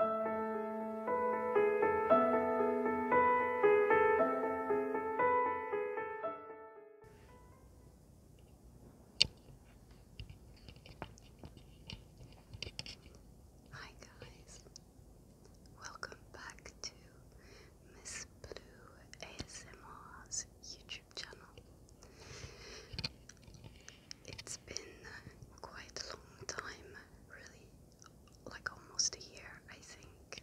Hi guys, welcome back to Miss Blue ASMR's YouTube channel. It's been quite a long time, really, like almost a year, I think,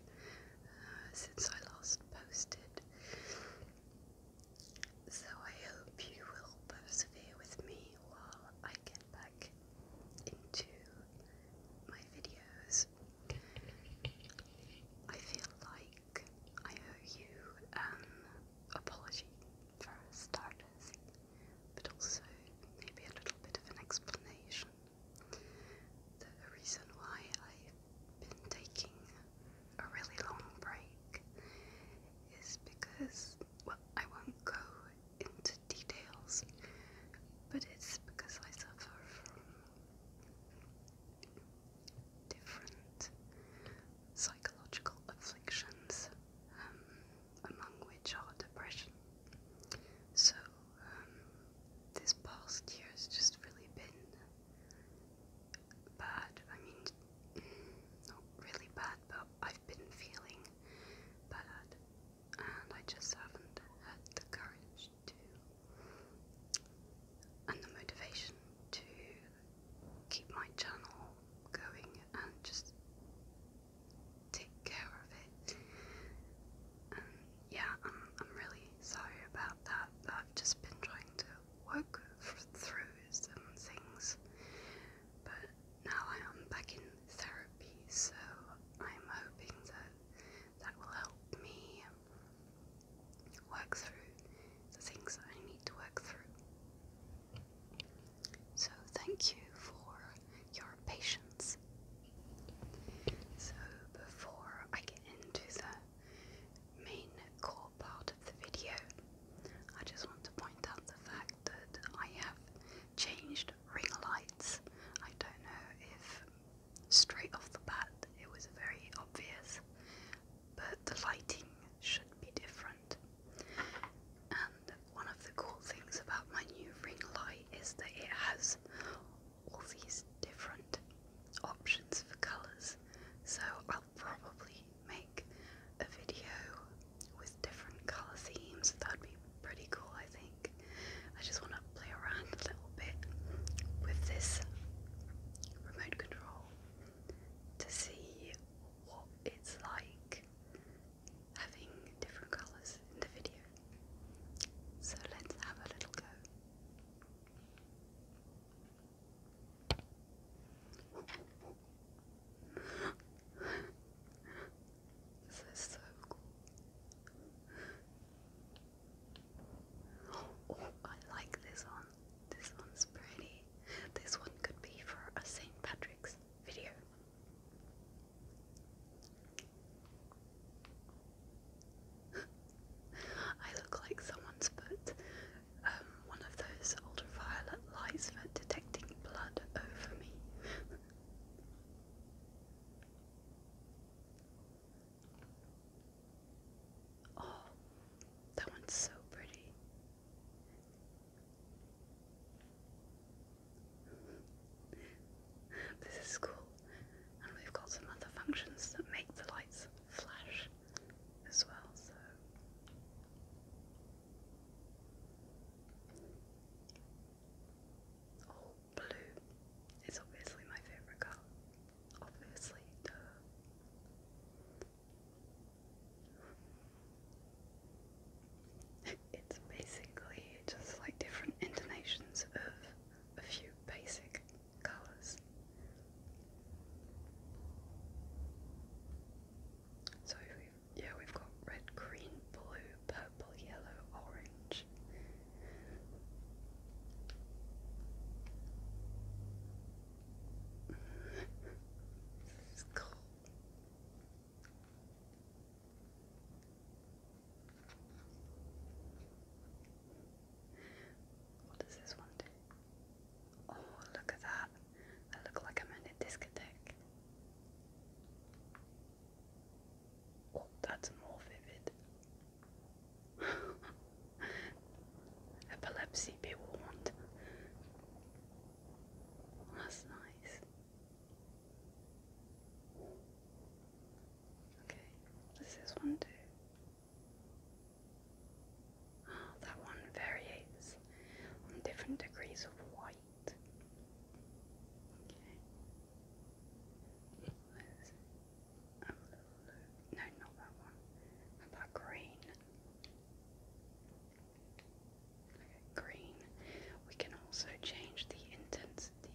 uh, since I last posted. So I hope you will persevere with me while I get back into my videos. I feel like I owe you an apology for starters, but also maybe a little bit of an explanation. The reason why I've been taking a really long break is because, well, I won't go into details, but it's because I suffer from different psychological afflictions, um, among which are depression. So, um, this past year has just really been bad. I mean, not really bad, but I've been feeling bad, and I just haven't had the courage to and the motivation to keep my channel going and just take care of it. And yeah, I'm, I'm really sorry about that, but I've just been trying to work through some things. But now I am back in therapy, so I'm hoping that that will help me work through the things that I need to work through. So, thank you for your patience. So, before I get into the main core part of the video, I just want to point out the fact that I have changed ring lights. I don't know if straight off the bat it was very obvious, but the lighting should be different. And one of the cool things about my new ring light is that it has all these different options for colours. So I'll probably make a video with different colour themes. That'd be pretty cool, I think. I just want to play around a little bit with this remote control to see what it's like having different colours in the video. So let's have a little go. this is so cool. Oh, I like this one. This one's pretty. This one could be for a St. Patrick's video. I look like someone's put um, one of those ultraviolet lights for detecting blood over me. oh, that one's so pretty. This is cool, and we've got some other functions that make the lights flash as well, so. Oh, blue is obviously my favourite colour. Obviously, duh. It's basically just like different intonations of a few basic colours. So yeah, we've got red, green, blue, purple, yellow, orange. What does this one do? Oh, look at that. I look like I'm in a discotheque. Oh, that's more vivid. Epilepsy, people want. That's nice. Okay, what's this one do? Oh, that one varies on different degrees of white. Okay. No, not that one. about green? green. We can also change the intensity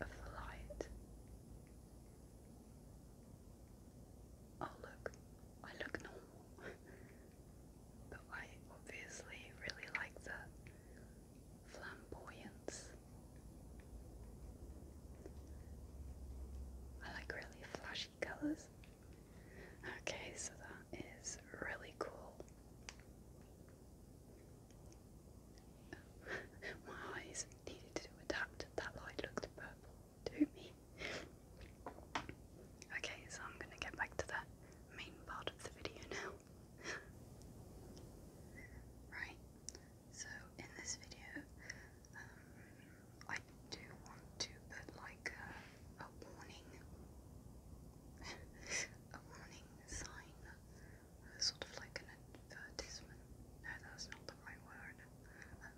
of the light. Oh look, I look normal. but I obviously really like the flamboyance. I like really flashy colors. Okay, so that is really cool. My eyes needed to adapt. That light looked purple to me. Okay, so I'm going to get back to the main part of the video now. right, so in this video, um, I do want to put like a, a warning, a warning sign, sort of like an advertisement. No, that's not the right word. Um,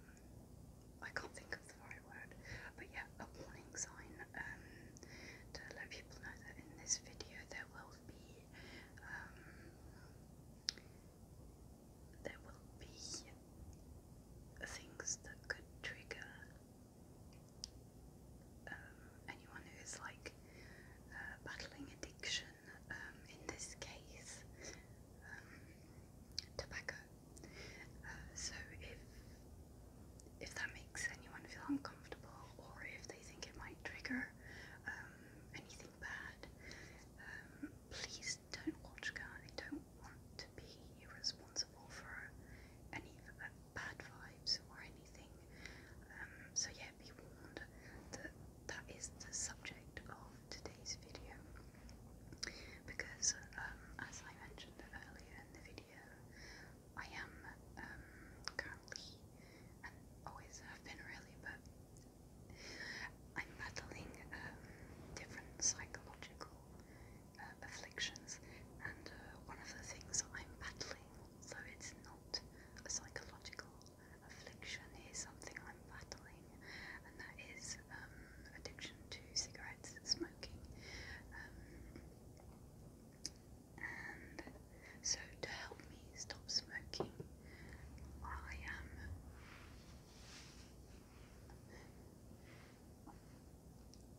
I can't think of the right word, but yeah, a warning sign um, to let people know that in this video there will be um, there will be things that could trigger um, anyone who is like uh, battling addiction. Um, in this case, um, tobacco. Uh, so if if that makes anyone feel uncomfortable, or if they think it might trigger anything bad, please just don't watch Car. don't want to be responsible for any uh, bad vibes or anything. Um, so yeah, be warned that that is the subject of today's video. Because um, as I mentioned earlier in the video, I am um, currently and always have been really, I'm battling um, different psychological uh, afflictions, and uh, one of the things that I'm battling, although it's not a psychological affliction, is something I'm battling, and that is um, addiction to cigarettes smoking. Um, and so, to help me stop smoking, I am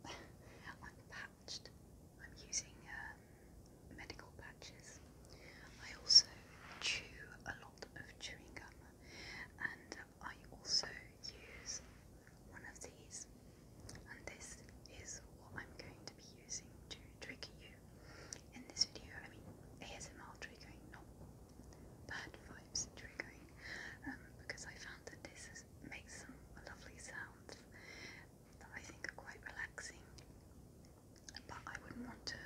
I'm patched. I'm using um, medical patches. I also chew a lot of chewing gum, and I also use one of these. And this is what I'm going to be using to trick you in this video. I mean, ASMR triggering, not bad vibes triggering um, because I found that this makes some lovely sounds that I think are quite relaxing. But I wouldn't want to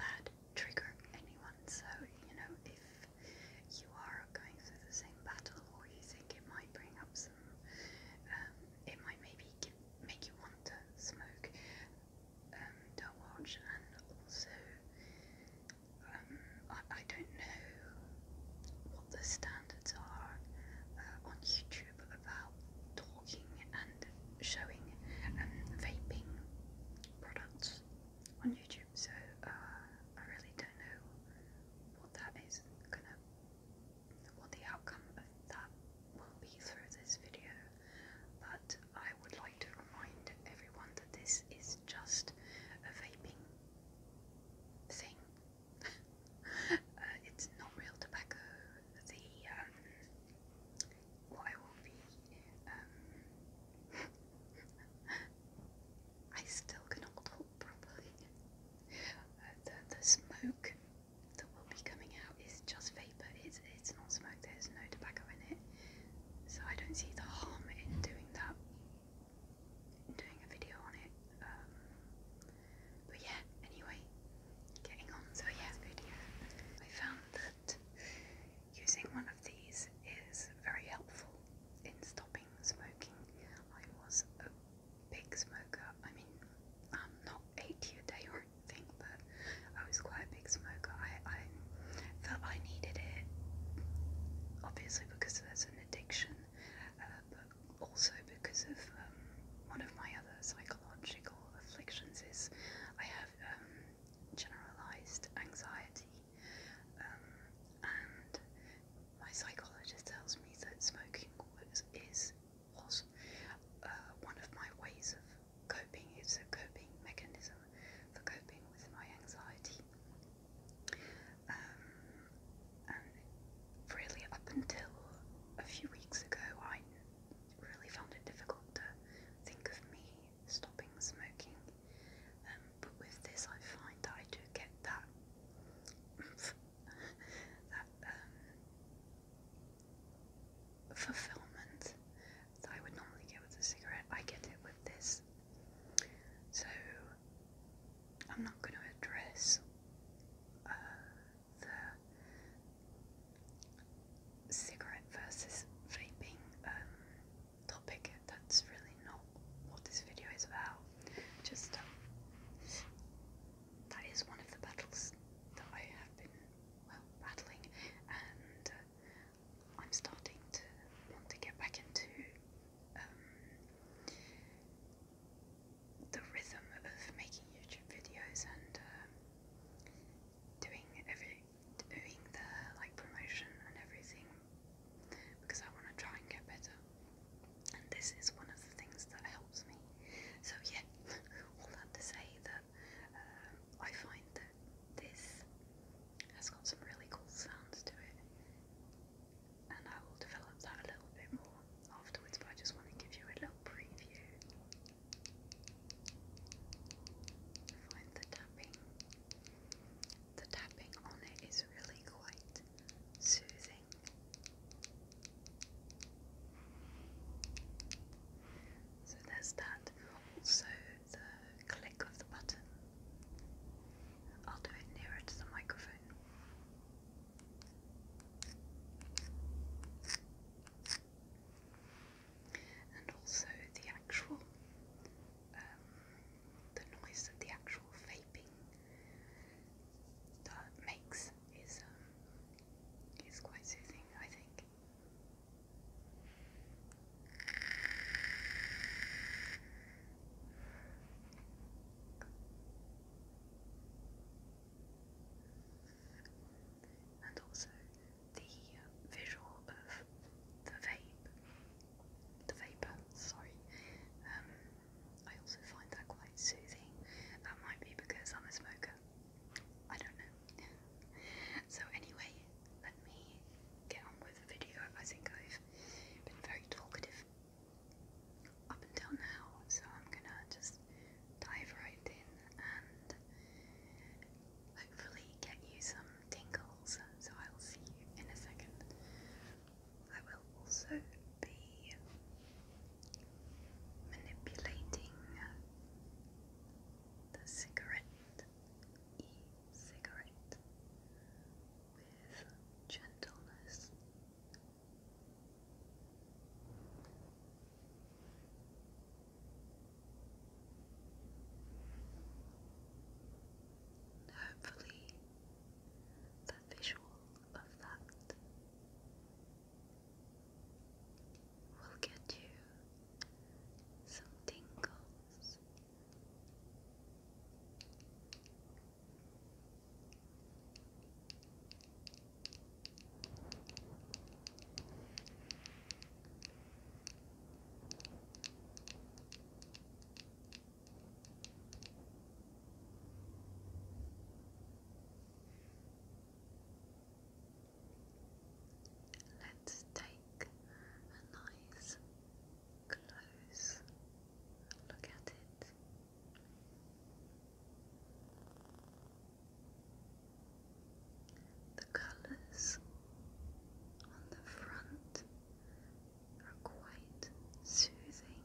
bad trigger anyone. So you know, if you are going through the same battle, or you think it might bring up some, um, it might maybe make you want to smoke um, Dell Watch, and also um, I, I don't know what the standards are uh, on YouTube about talking and showing and um, vaping products on YouTube, so uh, I really don't know what that is gonna, what the outcome of that will be through this video. But I would like to remind everyone that this is just a vaping thing. Uh, it's not real tobacco. The um, what will be. Um, I still cannot talk properly. Uh, the the smoke that will be coming out is just vapor. It's it's not smoke. There's no tobacco in it, so I don't see the harm in doing that. doing a video on it. Um, but yeah. Anyway, getting on. So yeah, video. I found that using one of these is very helpful in stopping smoking. I was a big smoker. I mean, I'm not 80 a day or group thing, but I was quite a big smoker. I, I felt I needed it, obviously because there's an addiction, uh, but also because of um, one of my other psychological afflictions is I have um, generalized anxiety, um, and my psychologist tells me that smoking was is was uh, one of my ways of coping. It's a coping mechanism for coping with my anxiety. Um, and really, up until a few weeks ago, I really found it difficult to think of me stopping smoking. Um, but with this, I find that I do get that that um, fulfillment that I would normally get with a cigarette. I get it with this. So I'm not going to address uh, the cigarette versus vaping um, topic. That's really not what this video is about. Just um, that is one of the battles that I have been well, rattling, and uh, I'm starting to want to get back into um, the rhythm of making YouTube videos and uh, doing every doing the like promotion and everything because I want to try and get better. And this is one of the things that helps me. So yeah, all that to say that uh, I find that this has got some really cool sounds to it, and I will develop that a little bit more afterwards, but I just want to give you a little preview. Find the tapping. The tapping on it is really quite soothing. So there's that also the click of the button. I'll do it nearer to the microphone. And also the actual, um, the noise that the actual vaping that makes is um, is quite soothing, I think and also the visual of the vape, the vapor. Sorry, um, I also find that quite soothing. That might be because I'm a smoker. I don't know. so anyway, let me get on with the video. I think I've been very talkative up until now, so I'm gonna just dive right in and hopefully get you some tingles. So I'll see you in a second. I will also be manipulating the cigarette, e-cigarette, with gentleness. Hopefully, the visual of that we will get you some tingles. Let's take a nice close look at it. The colours on the front are quite soothing.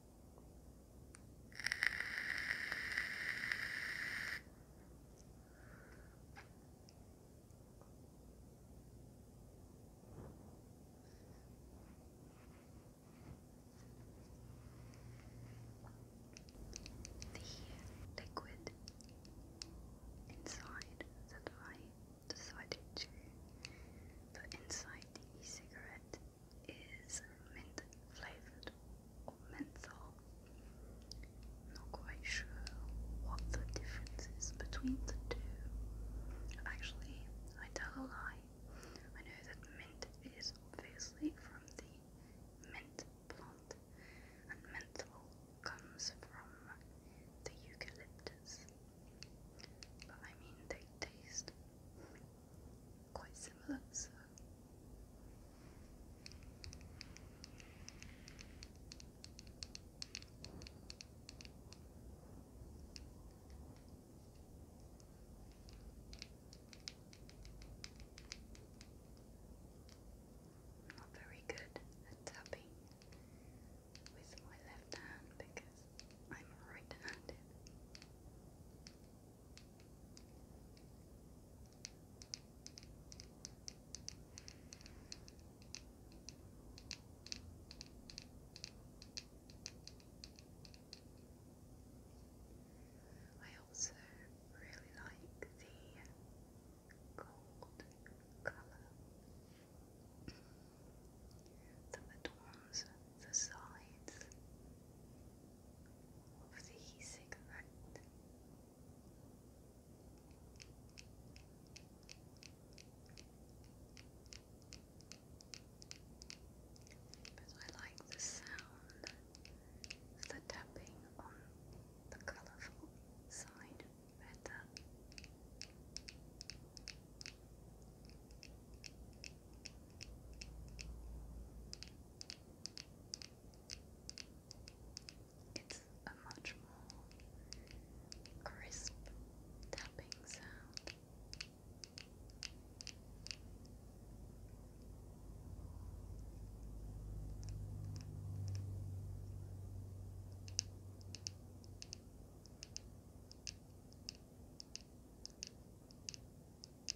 The liquid inside that I decided to put inside the cigarette is mint flavored or menthol. Not quite sure what the difference is between the two. Actually, I tell a lie. I know that mint is obviously from the mint plant, and menthol comes from the eucalyptus. But I mean, they taste quite similar, so not very good at tapping with my left hand because I'm right handed. I also really like the gold colour that adorns the sides of the e-cigarette. I like the sound of the tapping on the colourful side better. It's a much more crisp tapping sound.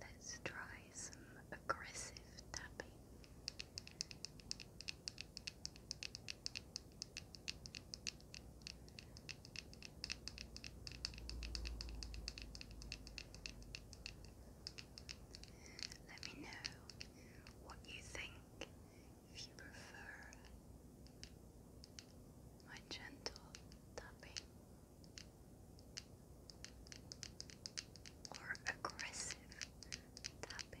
Let's try some aggressive tapping. Let me know what you think if you prefer my gentle tapping or aggressive tapping.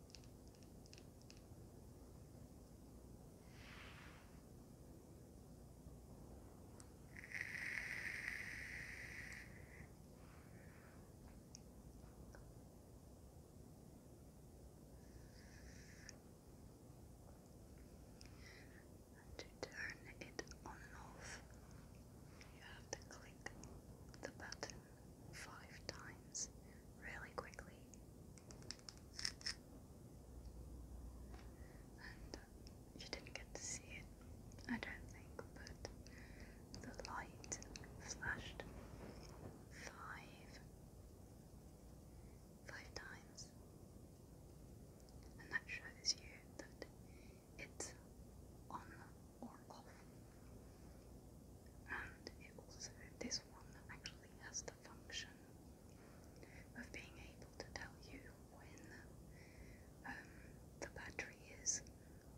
And to turn it on off, you have to click the button five times really quickly. And uh, you didn't get to see it, I don't think, but the light flashed five five times. And that shows you that it's on or off. And it also, this one actually has the function of being able to tell you when um, the battery is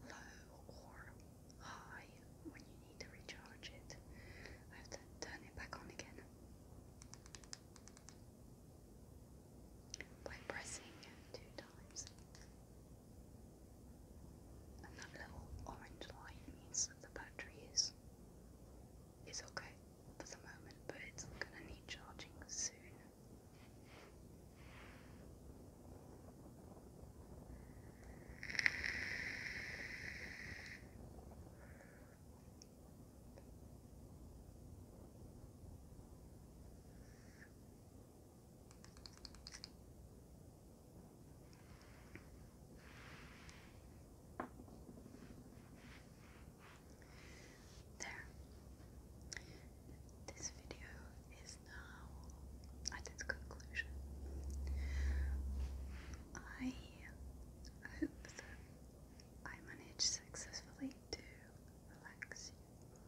low or high when you need to recharge it. I have to turn it back on again by pressing two times. And that little orange line means that the battery is is okay for the moment, but it's gonna need charging soon. There. This video is now at its conclusion. I hope that I managed successfully to relax you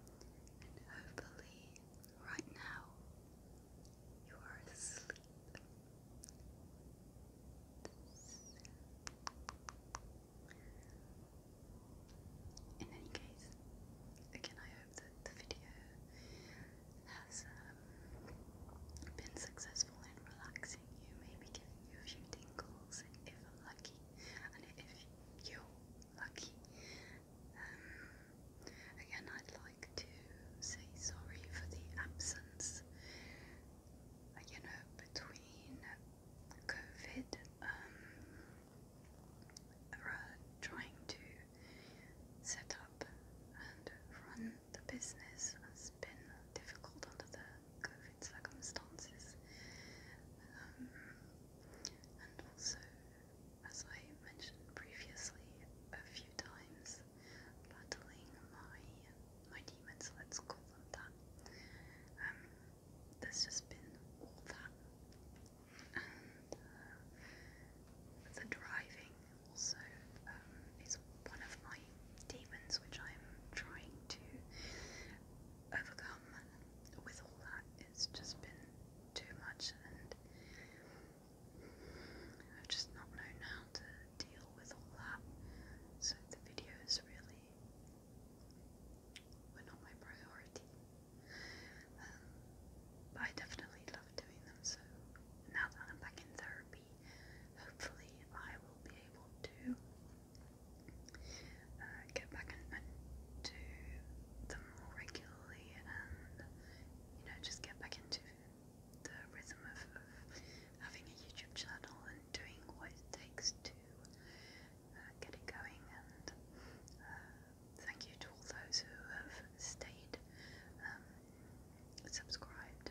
and hopefully Right now, you are asleep. In any case, again, I hope that the video has um, been successful in relaxing you, maybe giving you a few tingles if lucky, and if you're lucky, um, again, I'd like to say sorry for the absence, uh, you know, between COVID, um, trying to set up and run the business has been difficult under the COVID circumstances. Um, and also as I mentioned previously a few times, battling my my demons, let's call them that. Um, there's just been all that, and uh, the driving also um, is one of my demons, which I'm trying to overcome. With all that, it's just been too much, and I've just not known how to deal with all that. So the videos really were not my priority. Um, but I definitely love doing them, so now that I'm back in therapy, hopefully I will be able to uh, get back and, do them regularly and you know just get back into the rhythm of, having a YouTube channel and doing what it takes to uh, get it going. And uh, thank you to all those who have stayed um, subscribed,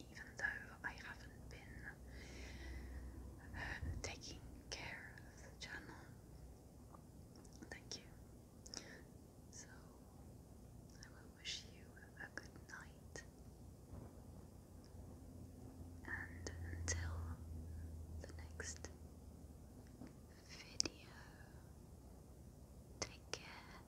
even though I haven't been uh, taking care of the channel. Thank you. So, I will wish you a good night. And until the next video, take care.